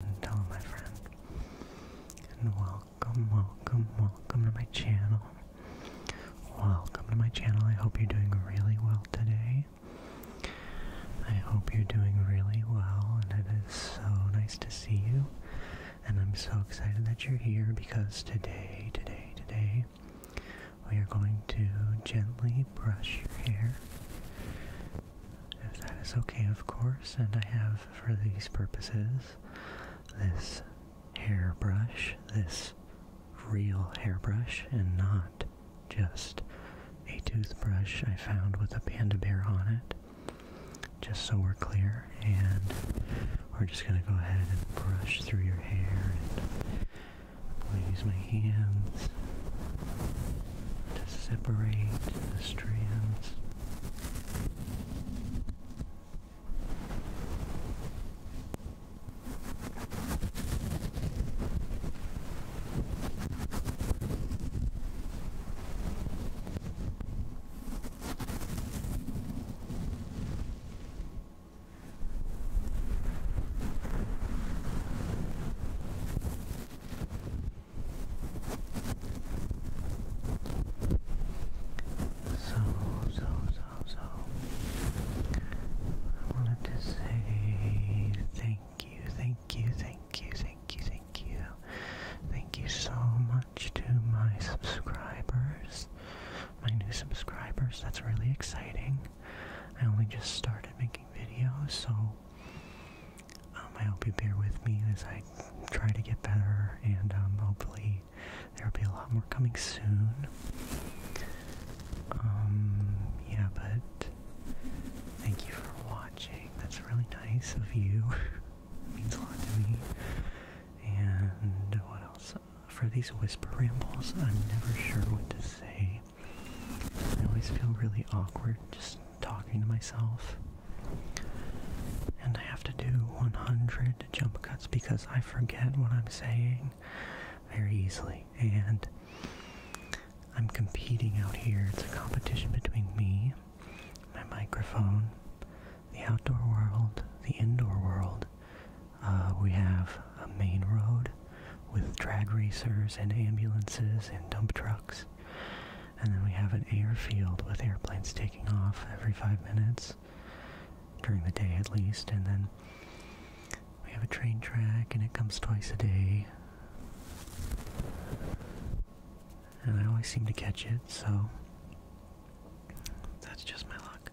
and my friend. And welcome, welcome, welcome to my channel. Welcome to my channel. I hope you're doing really well today. I hope you're doing really well, and it is so nice to see you. And I'm so excited that you're here because today, today, today, we are going to gently brush your hair if that is okay, of course, and I have for these purposes this hairbrush, this real hairbrush, and not just a toothbrush I found with a panda bear on it. Just so we're clear, and we're just going to go ahead and brush through your hair. And I'm going to use my hands to separate the strands. So, so, so, I wanted to say thank you, thank you, thank you, thank you, thank you. Thank you so much to my subscribers, my new subscribers. That's really exciting. I only just started making videos, so um, I hope you bear with me as I try to get better, and um, hopefully there will be a lot more coming soon. Um, yeah, but thank you for watching. That's really nice of you. it means a lot to me. And what else? For these whisper rambles, I'm never sure what to say. I always feel really awkward just talking to myself. And I have to do 100 jump cuts because I forget what I'm saying very easily. And I'm competing out here. It's a competition between me, my microphone, the outdoor world, the indoor world. Uh, we have a main road with drag racers and ambulances and dump trucks. And then we have an airfield with airplanes taking off every five minutes, during the day at least. And then we have a train track, and it comes twice a day. And I always seem to catch it, so that's just my luck.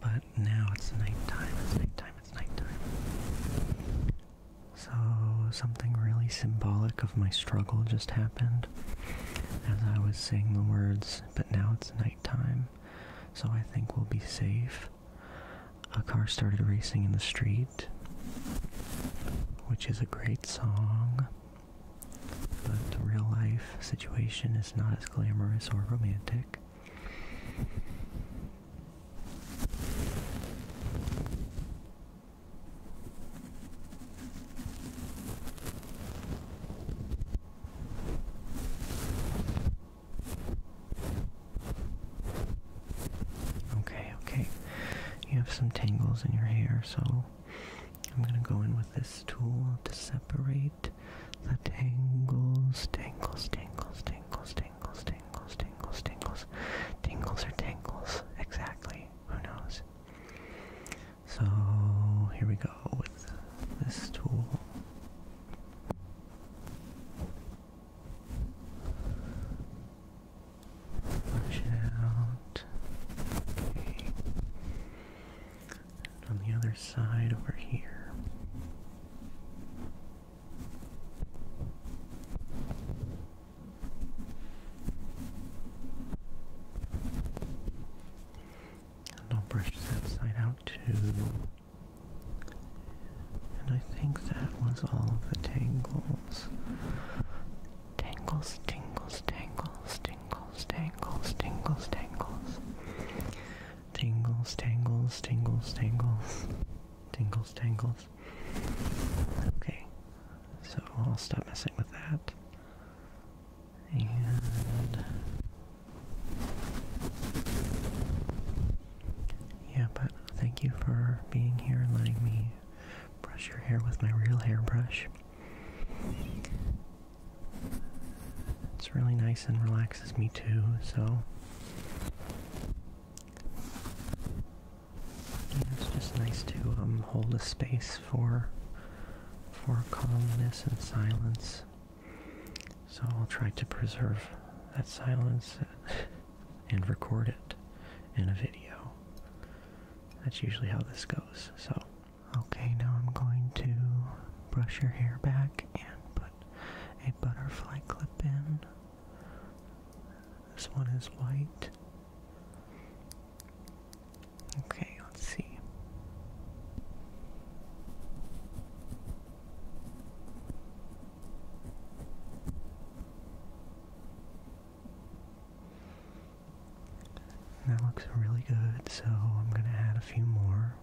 But now it's nighttime, it's nighttime, it's nighttime. So, something really symbolic of my struggle just happened as I was saying the words, but now it's nighttime, so I think we'll be safe. A car started racing in the street, which is a great song, but the real life situation is not as glamorous or romantic. Okay, okay. You have some tangles in your hair, so I'm gonna go in with this tool to separate the tangles, tangles, tangles, tangles, tangles tingles, tingles, tingles, tingles. Tingles or tangles, exactly. Who knows? So here we go with this tool. Push it out. on the other side over here. And I'll brush that side out too. And I think that was all of the tangles. Tangles, tangles, tangles, tangles, tangles, tangles, tangles. Tangles, tangles, tangles, tangles. Tingles, tangles. Okay. So I'll stop messing with that. And yeah, but thank you for being here and letting me brush your hair with my real hairbrush. It's really nice and relaxes me too, so. it's just nice to um, hold a space for for calmness and silence. So I'll try to preserve that silence and record it in a video. That's usually how this goes. So, okay, now I'm going to brush your hair back and put a butterfly clip in. This one is white. Okay, let's see. That looks really good, so I'm going to add a few more.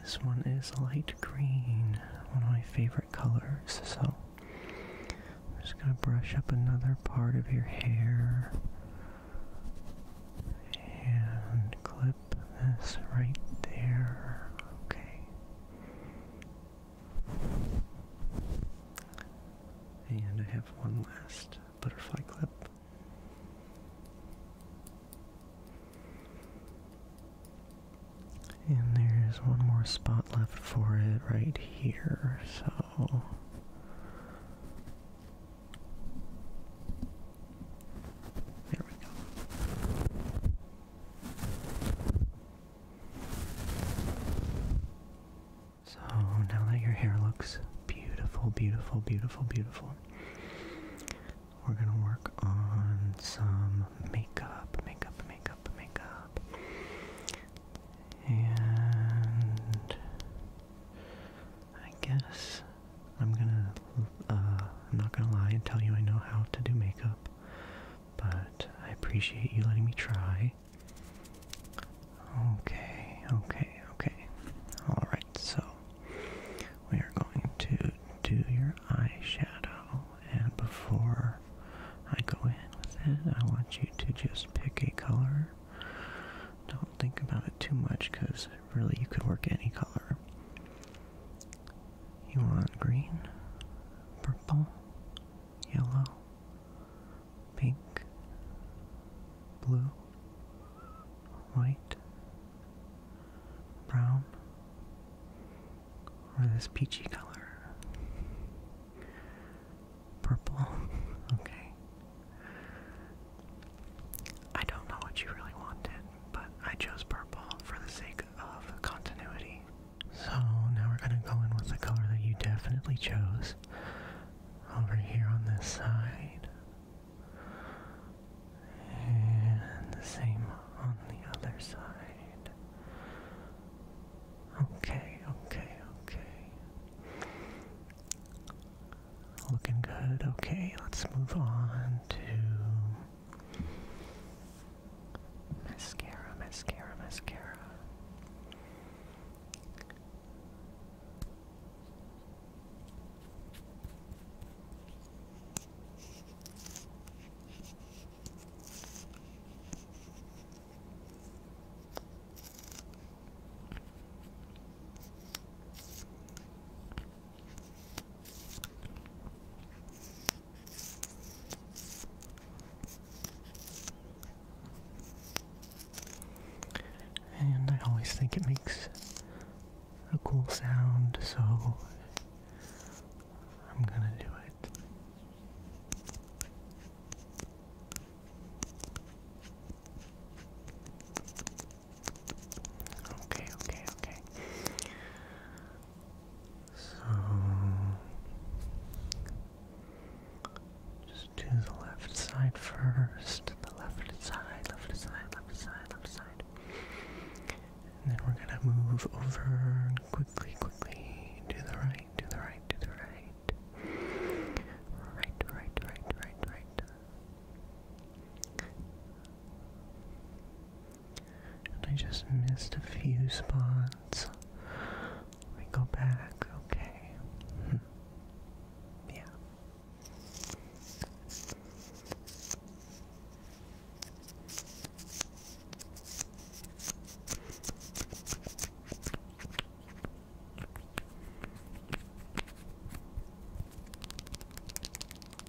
This one is light green, one of my favorite colors, so I'm just going to brush up another part of your hair and clip this right there. Okay. And I have one last butterfly clip. And there's one more spot left for it right here, so. There we go. So now that your hair looks beautiful, beautiful, beautiful, beautiful, we're gonna work on some makeup, makeup, makeup, makeup. And I guess I'm gonna, uh, I'm not gonna lie and tell you I know how to do makeup but I appreciate you letting me try. Okay, okay, okay. Alright, so we are going to do your eyeshadow, and before I go in with it, I want you to just pick a color. Don't think about it too much because really you could work any color. You want green, purple, yellow, pink, blue, white, brown, or this peachy color? Purple. Okay. I don't know what you really wanted but I chose purple for the sake of continuity. So now we're going to go in with the color that you definitely chose over here on this side. And the same on the other side. Okay, okay, okay. Looking good. Okay, let's move on to Mascara, mascara, mascara. And I always think it makes a cool sound, so I'm gonna do it. Okay, okay, okay. So just do the left side first. The left side, left side, left side, left side. And then we're gonna move over and quickly, quickly to the right, to the right, to the right. Right, right, right, right, right. And I just missed a few spots. We go back, okay. Hmm. Yeah.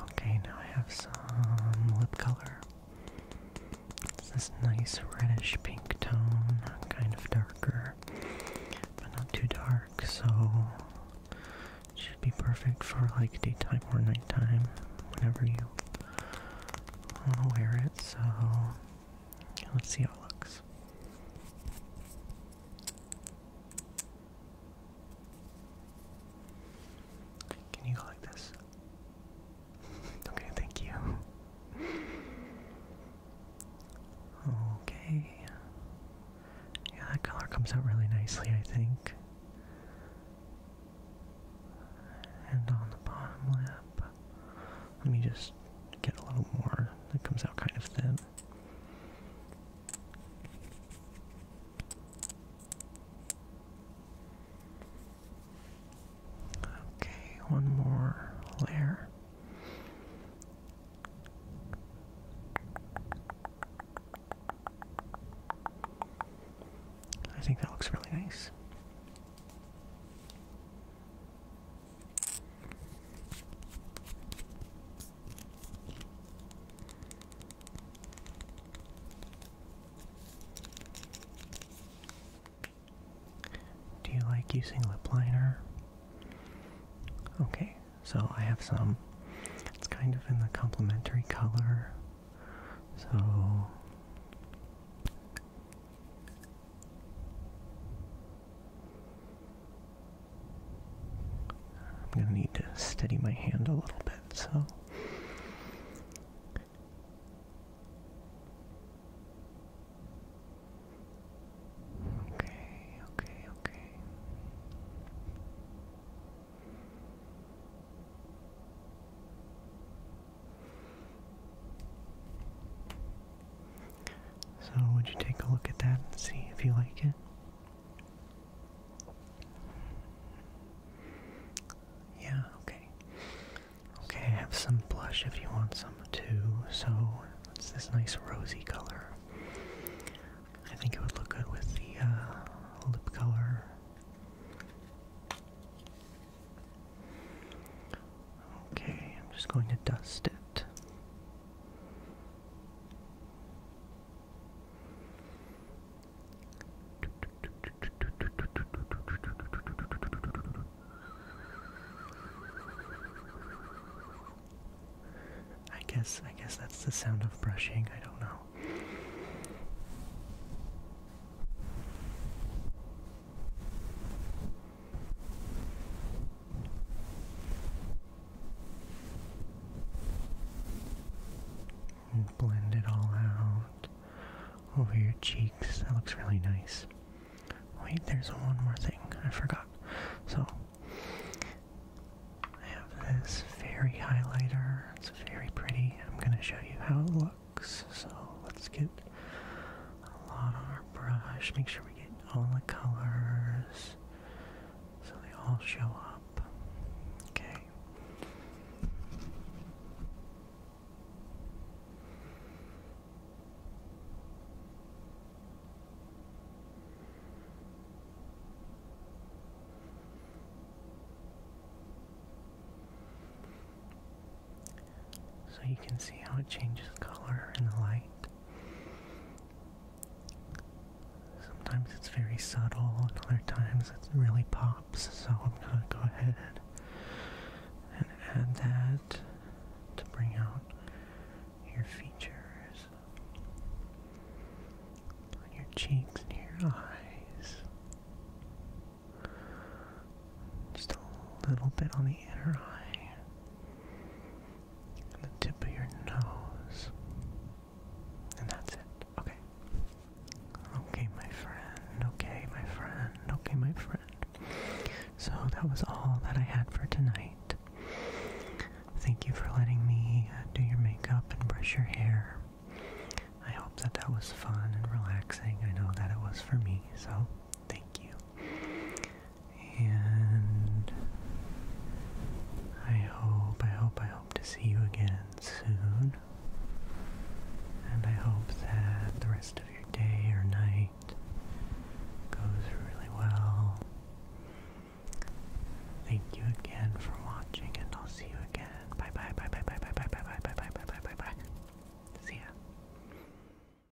Okay, now I have some lip color. It's this nice reddish pink tone, kind of darker, but not too dark, so should be perfect for like daytime or nighttime, whenever you want to wear it. So let's see how it looks. Can you go like this? okay, thank you. Okay. Yeah, that color comes out really nicely, I think. And on the bottom lip, let me just get a little more. It comes out kind of thin. Okay, one more layer. I think that looks really nice. Do you like using lip liner? Okay, so I have some. It's kind of in the complementary color. So. I'm going to need to steady my hand a little bit, so. Okay, okay, okay. So, would you take a look at that and see if you like it? Yeah, okay. Okay, I have some blush if you want some too. So it's this nice rosy color. I think it would look good with the uh, lip color. Okay, I'm just going to dust it. I guess I guess that's the sound of brushing. I don't know blend it all out over your cheeks. That looks really nice. Wait, there's one more thing. I forgot. So, I have this fairy highlighter. It's very pretty. I'm going to show you how it looks. So, let's get a lot on our brush. Make sure we get all the colors. So they all show up. Okay. So you can see how it changes color in the light. Sometimes it's very subtle, and other times it really pops, so I'm gonna go ahead and add that to bring out your features, on your cheeks and your eyes. Just a little bit on the inner eye the tip of your nose. And that's it. Okay. Okay, my friend. Okay, my friend. Okay, my friend. So that was all that I had for tonight. Thank you for letting me uh, do your makeup and brush your hair. I hope that that was fun and relaxing. I know that it was for me, so Thank you. And I hope, I hope, I hope to see you again soon. And I hope that the rest of your day or night goes really well. Thank you again for watching, and I'll see you again. Bye bye bye bye bye bye bye bye bye bye bye bye bye bye bye. See ya.